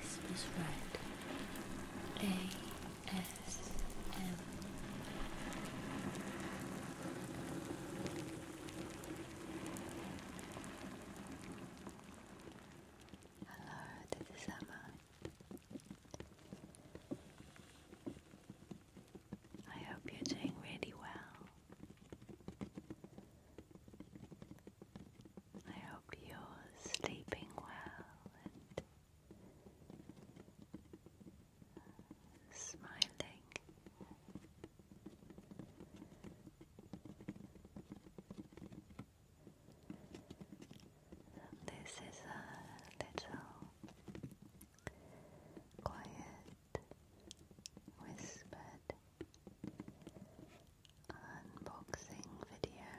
This is red Hello, this is Emma. I hope you're doing really well. I hope you're sleeping well and smiling. This is a little quiet, whispered unboxing video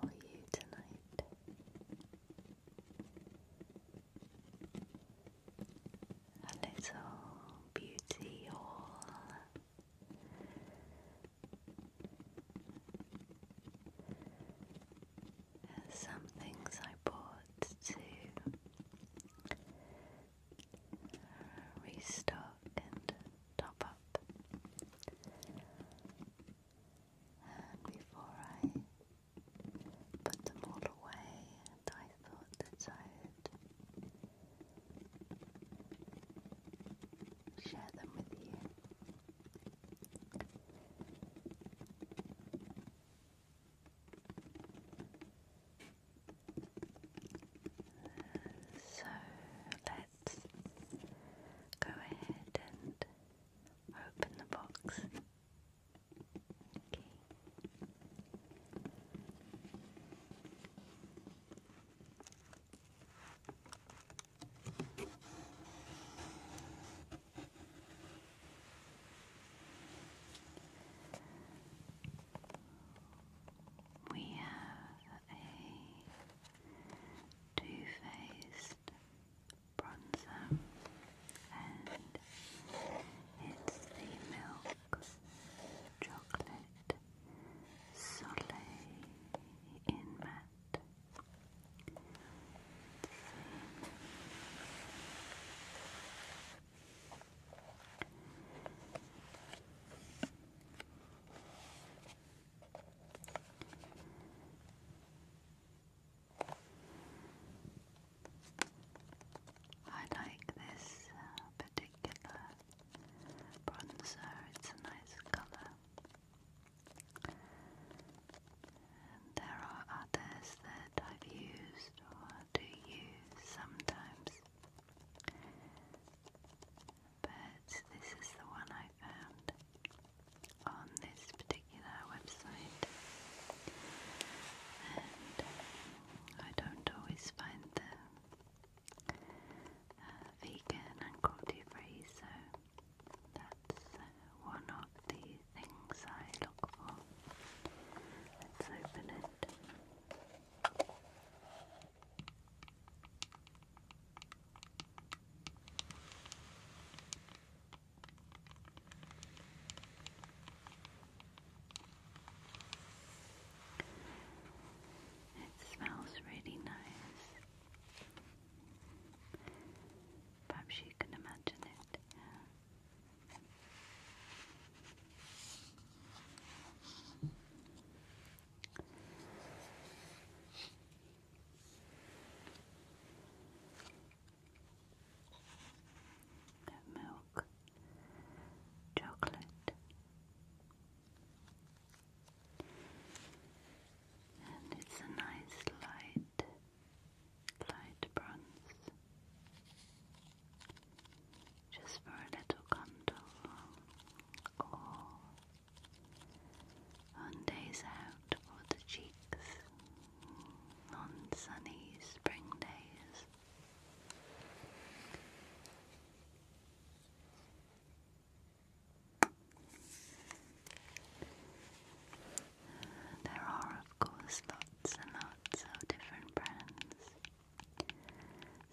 for you tonight. A little beauty haul some things I bought to restock and top up. And before I put them all away, and I thought that I would share them with you. So let's go ahead and open the box. Okay. We have a two-faced bronzer and it's the milk chocolate Soleil in matte I like this uh, particular bronzer, it's a nice color. And there are others that I've used or do use sometimes. But this is the one I found on this particular website. And I don't always find them uh, vegan and cruelty free, so that's uh, one of the things I look for. Let's open it. It smells really nice. Perhaps you can imagine it. milk, chocolate, and it's a nice light light bronze, just for a little contour, or on days out for the cheeks, on sunny spring days. There are, of course, lots and lots of different brands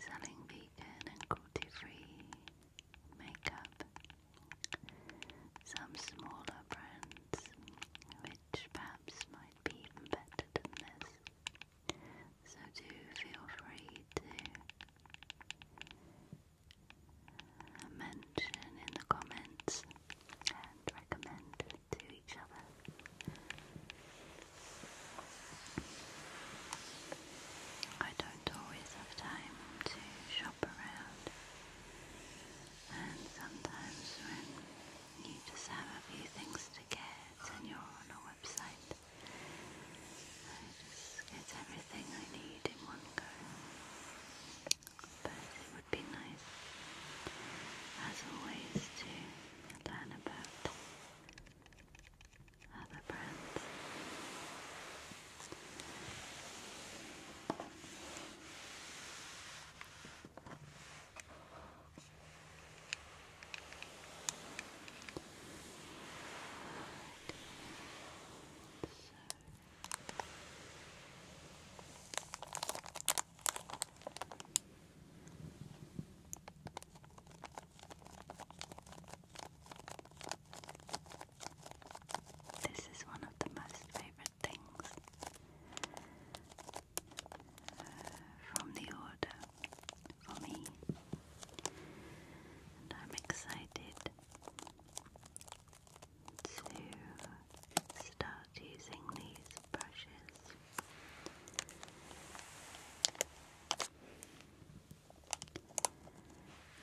selling vegan and cruelty free makeup. Some smaller brands, which perhaps might be even better than this. So, do feel free to mention in the comments recommend to each other. I don't always have time to shop around, and sometimes when you just have a few things to get and you're on a website, I just get everything I need in one go but it would be nice, as always, to learn about other brands. So this is one of the most favorite things uh, from the order for me, and I'm excited to start using these brushes.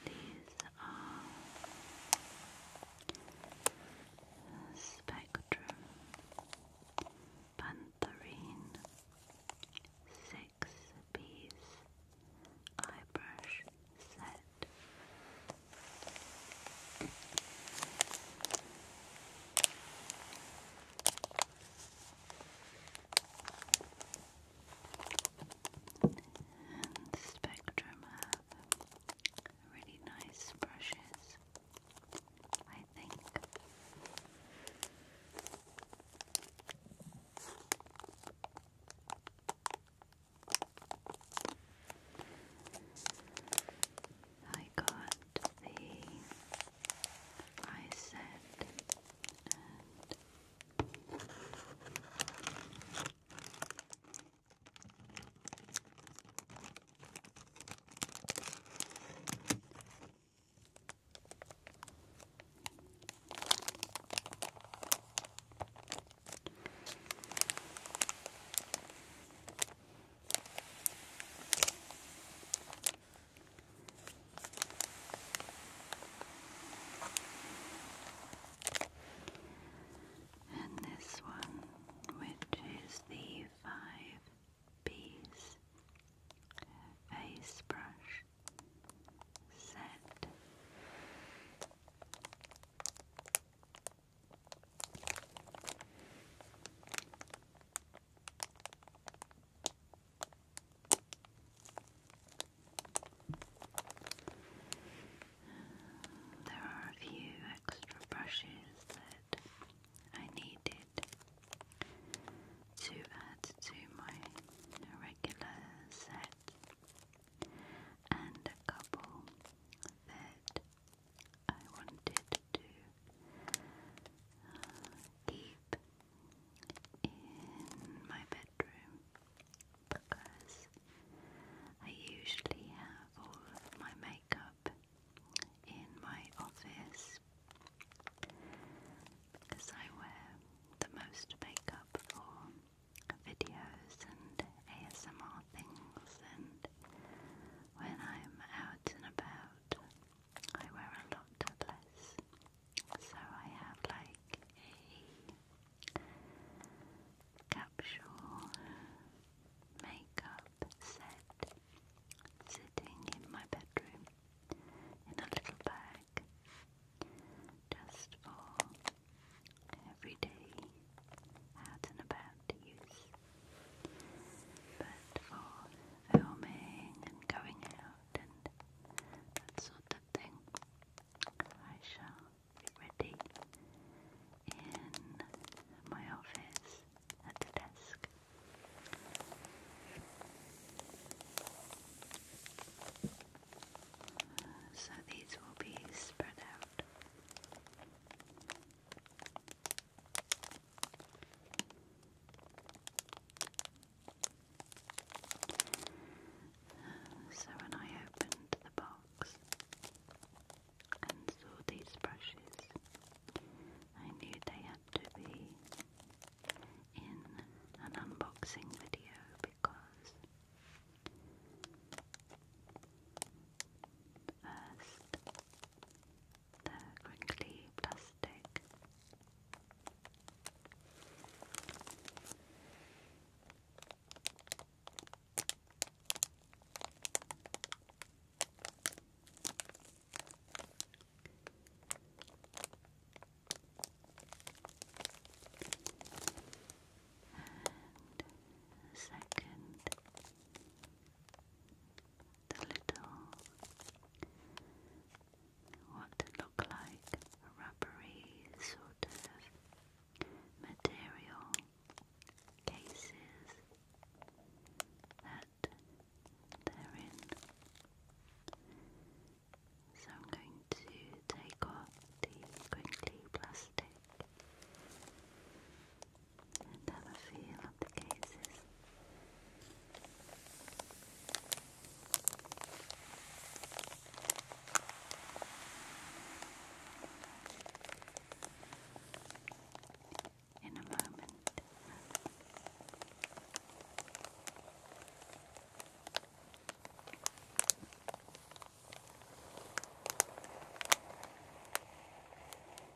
These are Spectrum Pantherine Six Piece Eye Set. And Spectrum have really nice brushes, I think. I got the eye set and this one, which is the five piece face brush set. There are a few extra brushes that I needed to add to my regular set, and a couple that I wanted to uh, keep in my bedroom because I usually have all of my makeup in my office because I wear the most makeup for videos and ASMR things and when I'm out and about, I wear a lot less. So I have like a capsule makeup set sitting in my bedroom in a little bag just for everyday out and about use. But for filming and going out and sort of thing, I shall be ready in my office at the desk. So these will be spread out. So when I opened the box and saw these brushes, I knew they had to be in an unboxing video because first the crinkly plastic. second the little what look like rubbery sort of material cases that they're in. So I'm going to take off the crinkly plastic and have a feel of the cases. In a moment.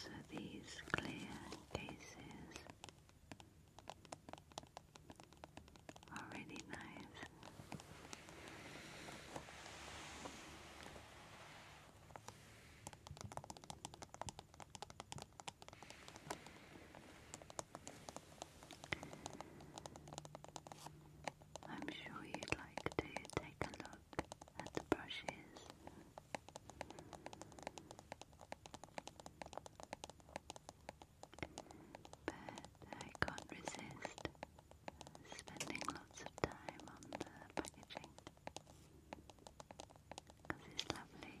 So these clear cases are really nice. I'm sure you'd like to take a look at the brushes. But I can't resist spending lots of time on the packaging because it's lovely.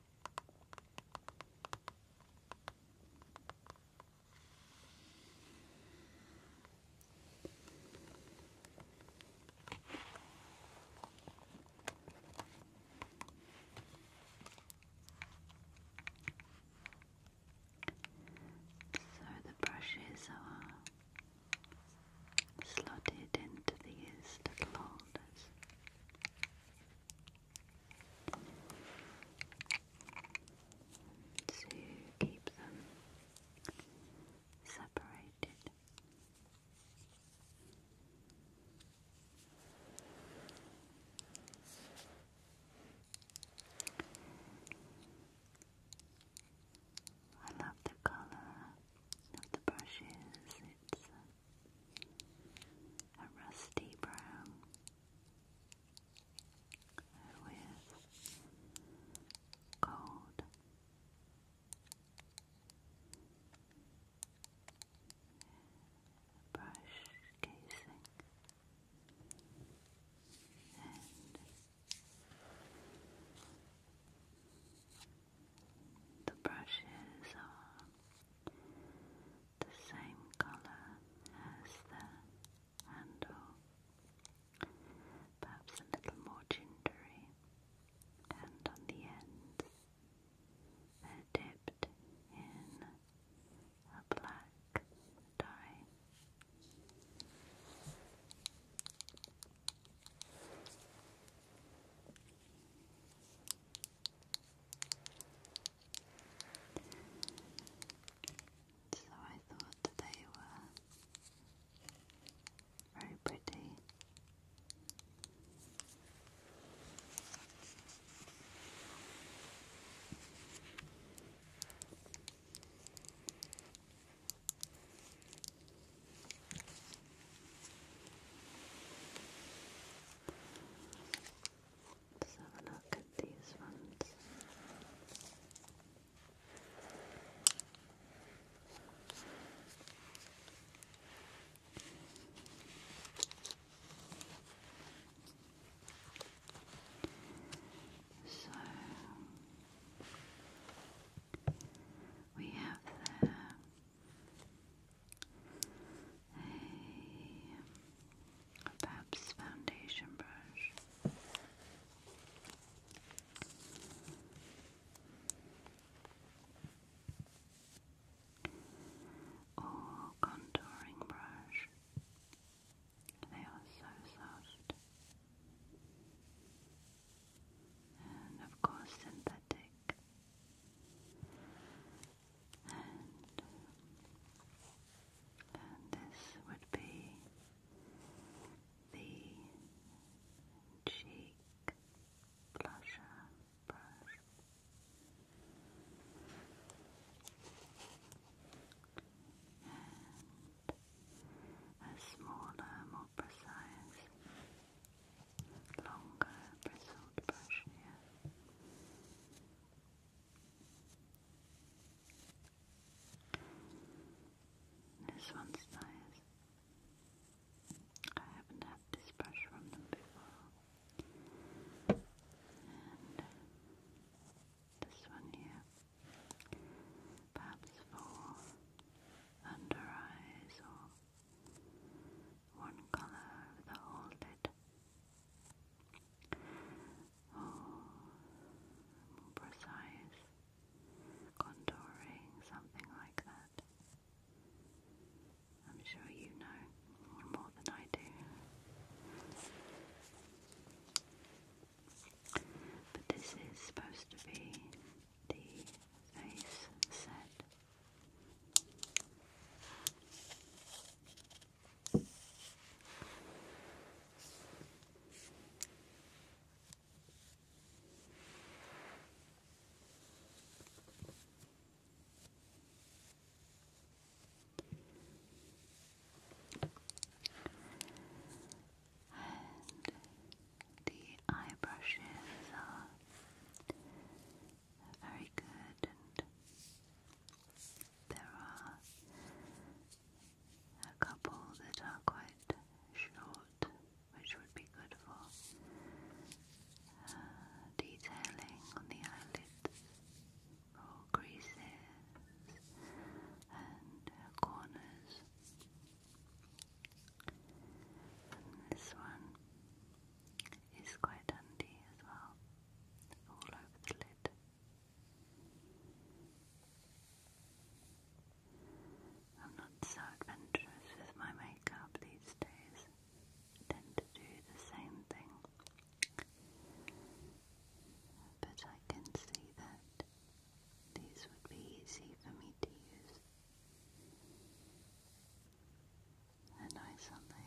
So the brushes are slotted into these little holders to keep them separated. I love the colour of the brushes, it's uh, a rusty brown with gold brush casing the brushes are the same colour as the handle, perhaps a little more gingery, and on the ends they're dipped in a black dye. So I thought they were very pretty. Let's have a look at these ones. So we have there a Pabst foundation brush. Or contouring brush. They are so soft. And of course, synthetic and, and this would be the cheek blusher brush. And a smaller, more precise longer bristled brush here. This one's nice. I haven't had this brush from them before. And this one here. Perhaps for under eyes or one color over the whole lid. Oh, more precise contouring, something like that. I'm sure you know more than I do. But this is supposed to be the face set and the eye brushes are very good, and there are a couple that are quite short, which would be good for uh, detailing on the eyelids or creases and corners. this one is quite handy as well, all over the lid. I'm not so adventurous with my makeup these days. tend to do the same thing. But I can see that these would be easy for me to use and recently. Thank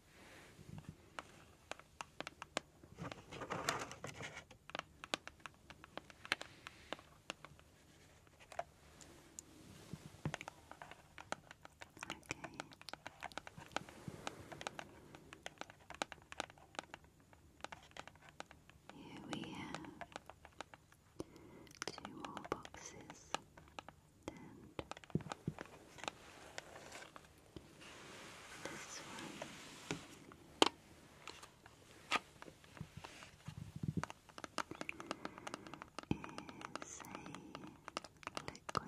Here we have two more boxes this one. Is a liquid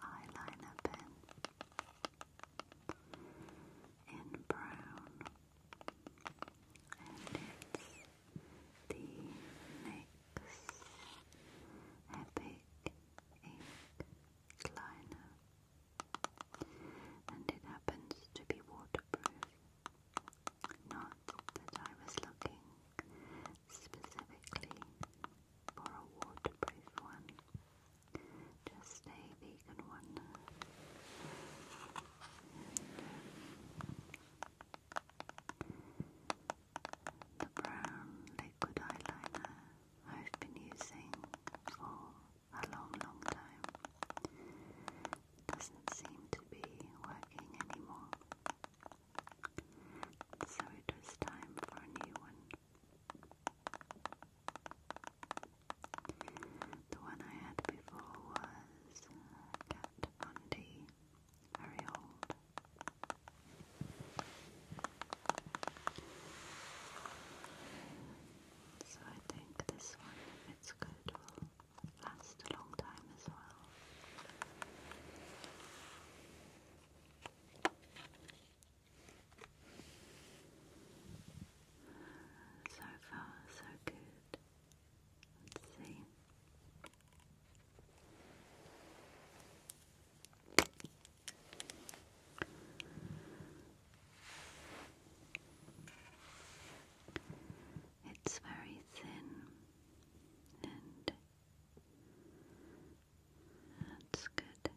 eyeliner pen in brown, and it's the NYX Epic Ink Liner and it happens to be waterproof. Not that I was looking specifically for a waterproof one, just a vegan one. Um, the brown liquid eyeliner I've been using for a long, long time. Doesn't seem to be working anymore. So it was time for a new one. The one I had before was uh, Kat Von D, very old. So I think this one, it's good, will last a long time as well. So far, so good. Let's see. It's very thin and that's good.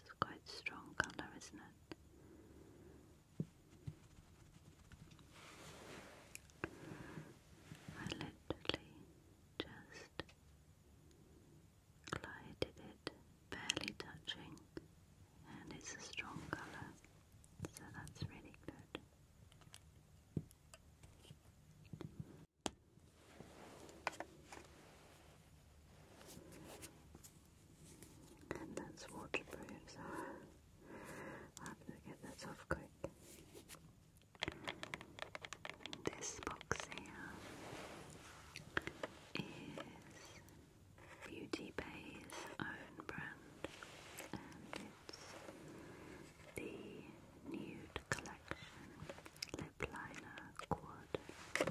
It's quite strong colour, isn't it? I literally just chest. Glided it, barely touching, and it's a strong colour, so that's really good. And that's waterproof, so i have to get that off quick. This box here is Beauty Bay's own brand, and it's the Nude Collection Lip Liner Quad.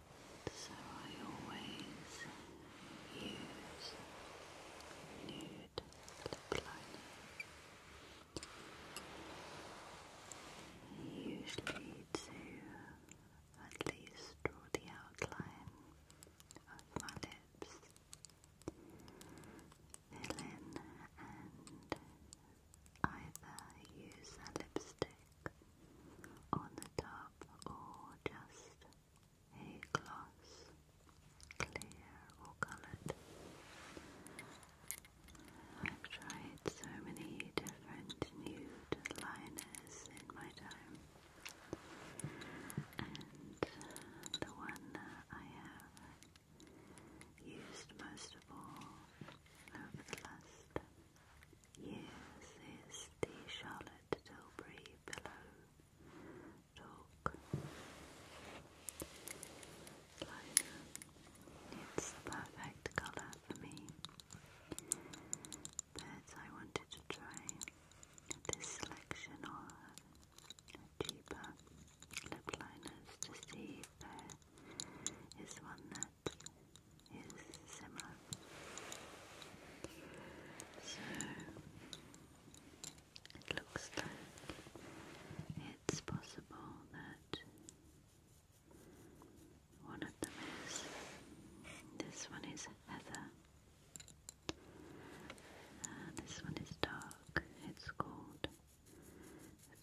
So I always use nude lip liner. Usually to at least draw the outline of my lips, fill in and either use a lipstick on the top or just a gloss, clear or coloured. I've tried so many different nude liners in my time, and the one I have used most of all over the last years is the Charlotte Charlotte Tilbury Pillow Talk Liner. It's the perfect colour for me, but I wanted to try this selection of cheaper lip liners to see if there is one that is similar so it looks like it's possible that one of them is this one is Heather. Uh, this one is dark. It's called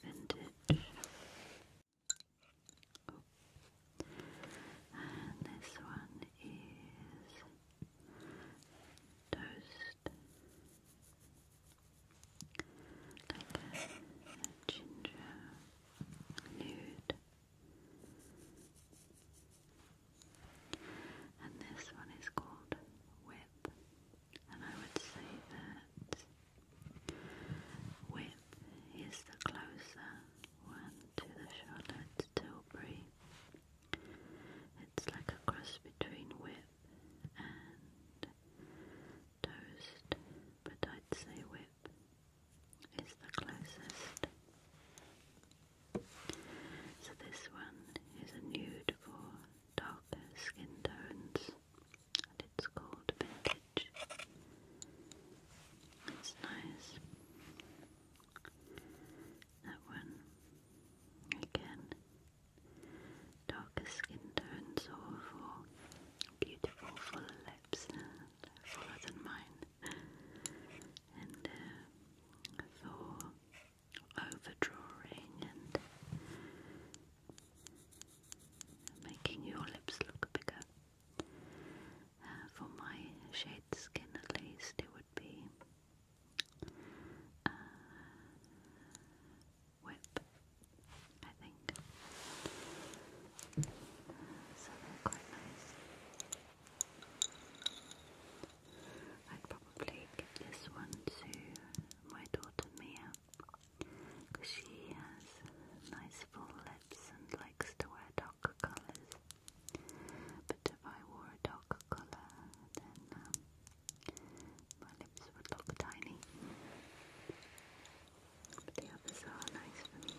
Vintage. And this one is toast, like a, ginger nude. And this one is called Whip, and I would say that Whip is the closer one to the Charlotte Tilbury it's like a cross between whip and toast, but I'd say whip is the closest. So this one is a nude for darker skin tones, and it's called vintage. It's nice that one. Again, darker skin tone, soulful, beautiful, full lips, uh, fuller than mine. And uh, for overdrawing and making your lips look bigger. Uh, for my shade skin, at least, it would be uh, whip, I think. So they're quite nice. I'd probably give this one to my daughter Mia because she has nice full lips and likes to wear darker colours. But if I wore a dark colour, then um, my lips would look tiny. But the others are nice for me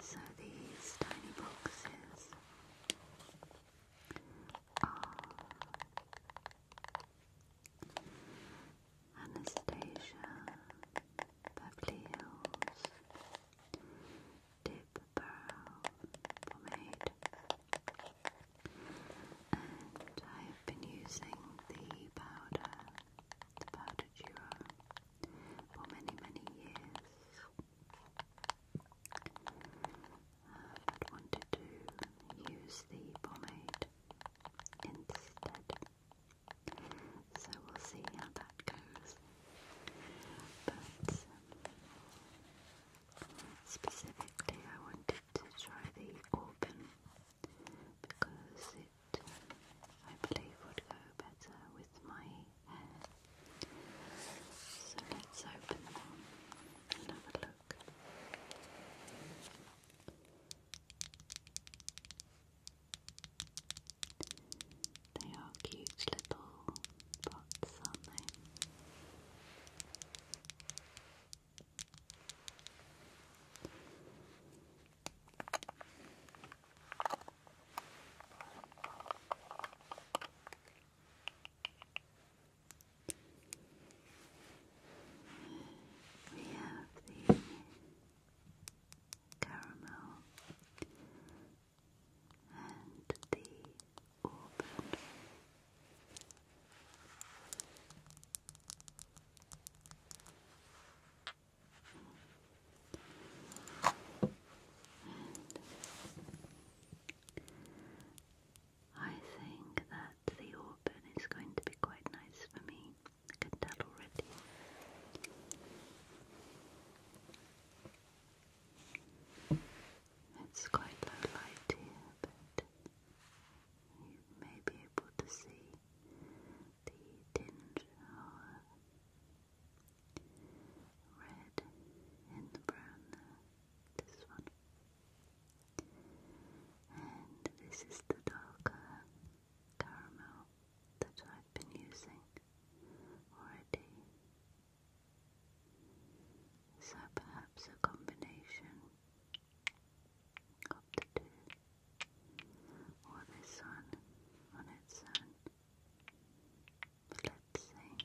So these tiny boxes are Anastasia, Beverly Hills, Deep Pomade, and I've been using the powder, the powder duo, for many many years. I've wanted to use the pomade instead. So we'll see how that goes. But specifically, I wanted to try the organ because it, I believe, would go better with my hair. So let's open them and have a look. They are cute little pots, aren't they? we have the caramel and the auburn. I think that the auburn is going to be quite nice for me. I can tell already. It's quite low light here, but you may be able to see the tinge of red in the brown This one. And this is the darker caramel that I've been using already. So perhaps a combination of the two, or this one on its own. Let's see.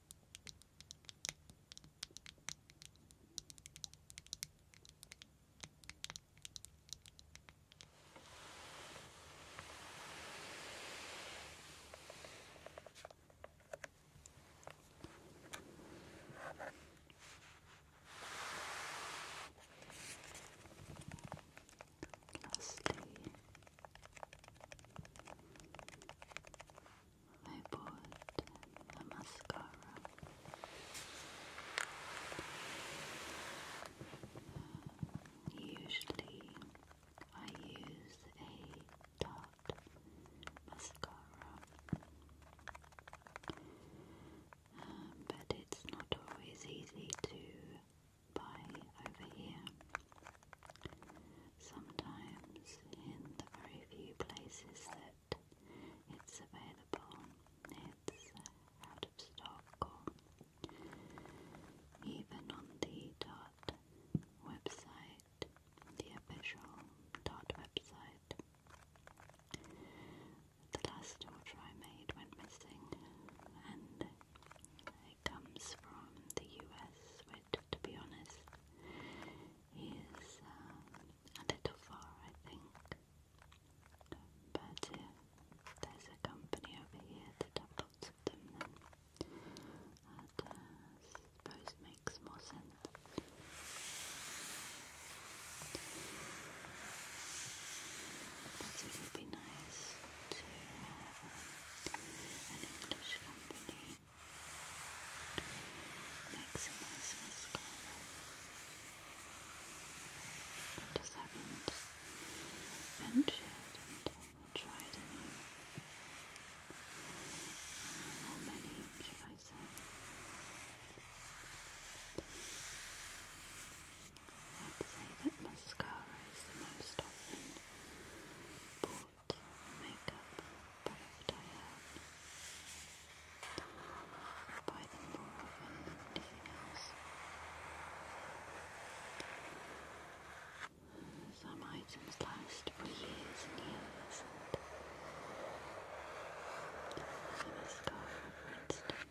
Lastly, I bought a mascara usually I use a Tarte mascara uh, but it's not always easy to buy over here sometimes in the very few places that it's available, it's uh, out of stock or even on the Dart website, the official Dart website. The last order I made went missing and it comes from the US, which to be honest is um, a little far, I think. But uh, there's a company over here that have lots of them, then uh, I suppose makes more sense. But it would be nice to have an English company Maximus mascara. I just haven't ventured and tried any. How many should I say? I'd say that mascara is the most often bought cute makeup product I buy them more often than anything else. Some items last for years and years, and the mascara, for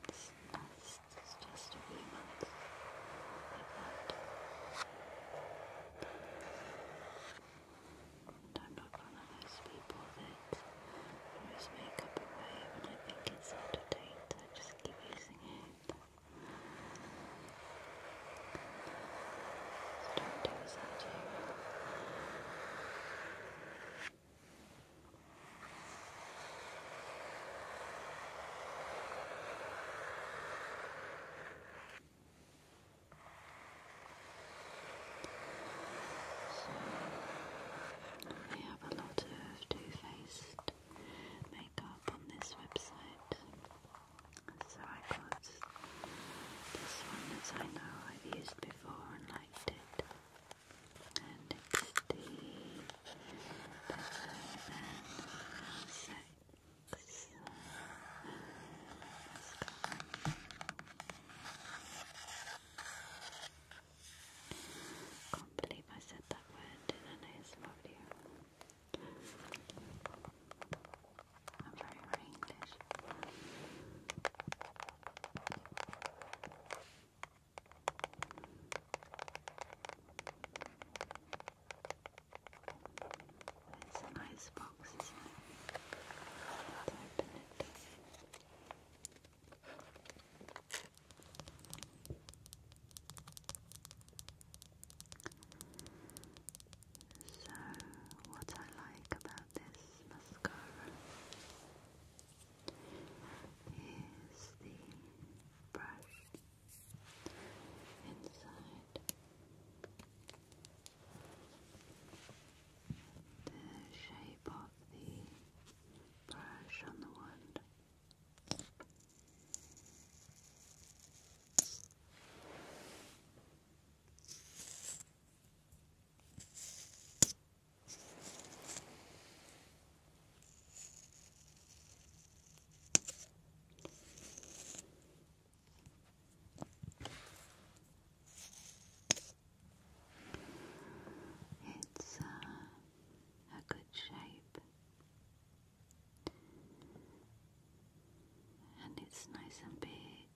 instance, just a few months I'm not one of those people that throws makeup away when I think it's out of date. I just keep using it. don't do as I do. They have a lot of two-faced makeup on this website. So I got this one that I know I've used before and liked it. And it's the Better can't believe I said that word in an I'm very, English. It's a nice box, isn't it? Let's open it. So, what I like about this mascara is the brush inside the shape of the brush on the wand. It's uh, a good shape and it's nice and big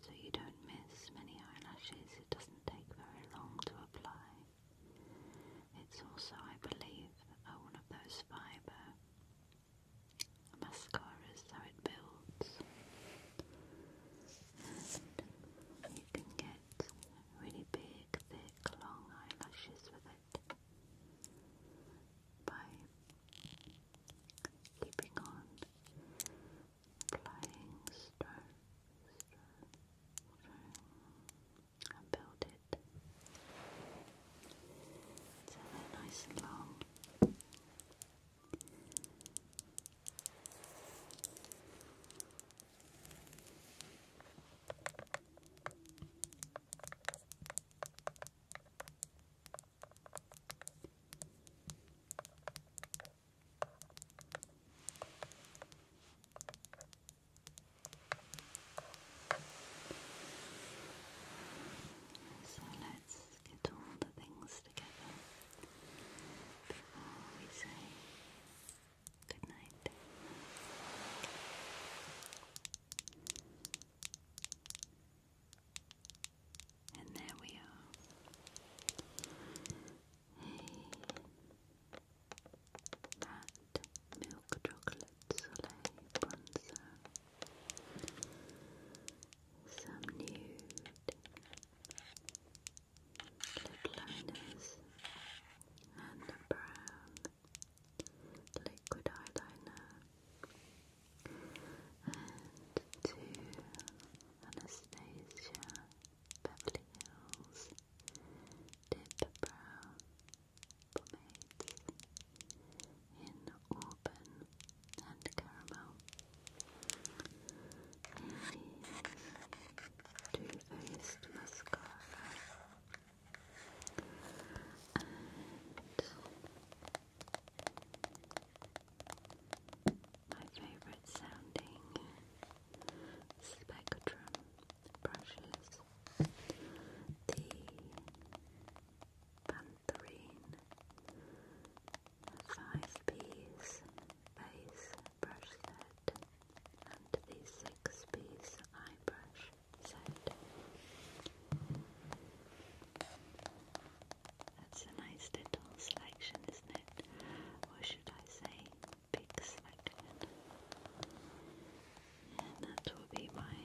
so you don't miss many eyelashes. It doesn't take very long to apply. It's also, I believe, uh, one of those fibre mascara is how it builds you can get really big, thick, long eyelashes with it by keeping on applying stroke, stroke, stroke and build it so they're nice and long so let's get all the things together before we say good And there we are. A matte milk chocolate soleil bronzer some nude lip and a brown liquid eyeliner and to Anastasia Beverly Hills Dip Brow Pomades in Auburn and caramel. It is Faced mascara. And my favorite sounding spectrum brushes. The Pantherine five-piece base brush set and the six-piece eye brush set. That's a nice little selection, isn't it? Or should I say, big selection? And that will be my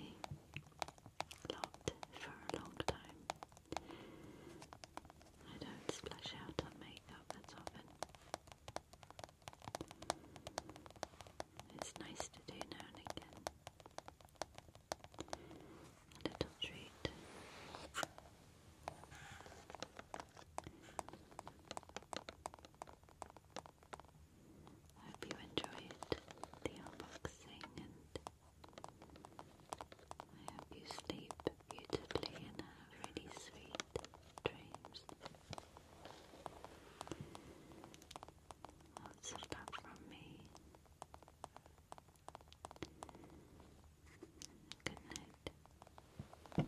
lot for a long time. I don't splash out on makeup that often. It's nice to do now and again. little treat. I hope you enjoyed the unboxing and I hope you sleep beautifully and have really sweet dreams. Lots of love from me. Good night. Good night.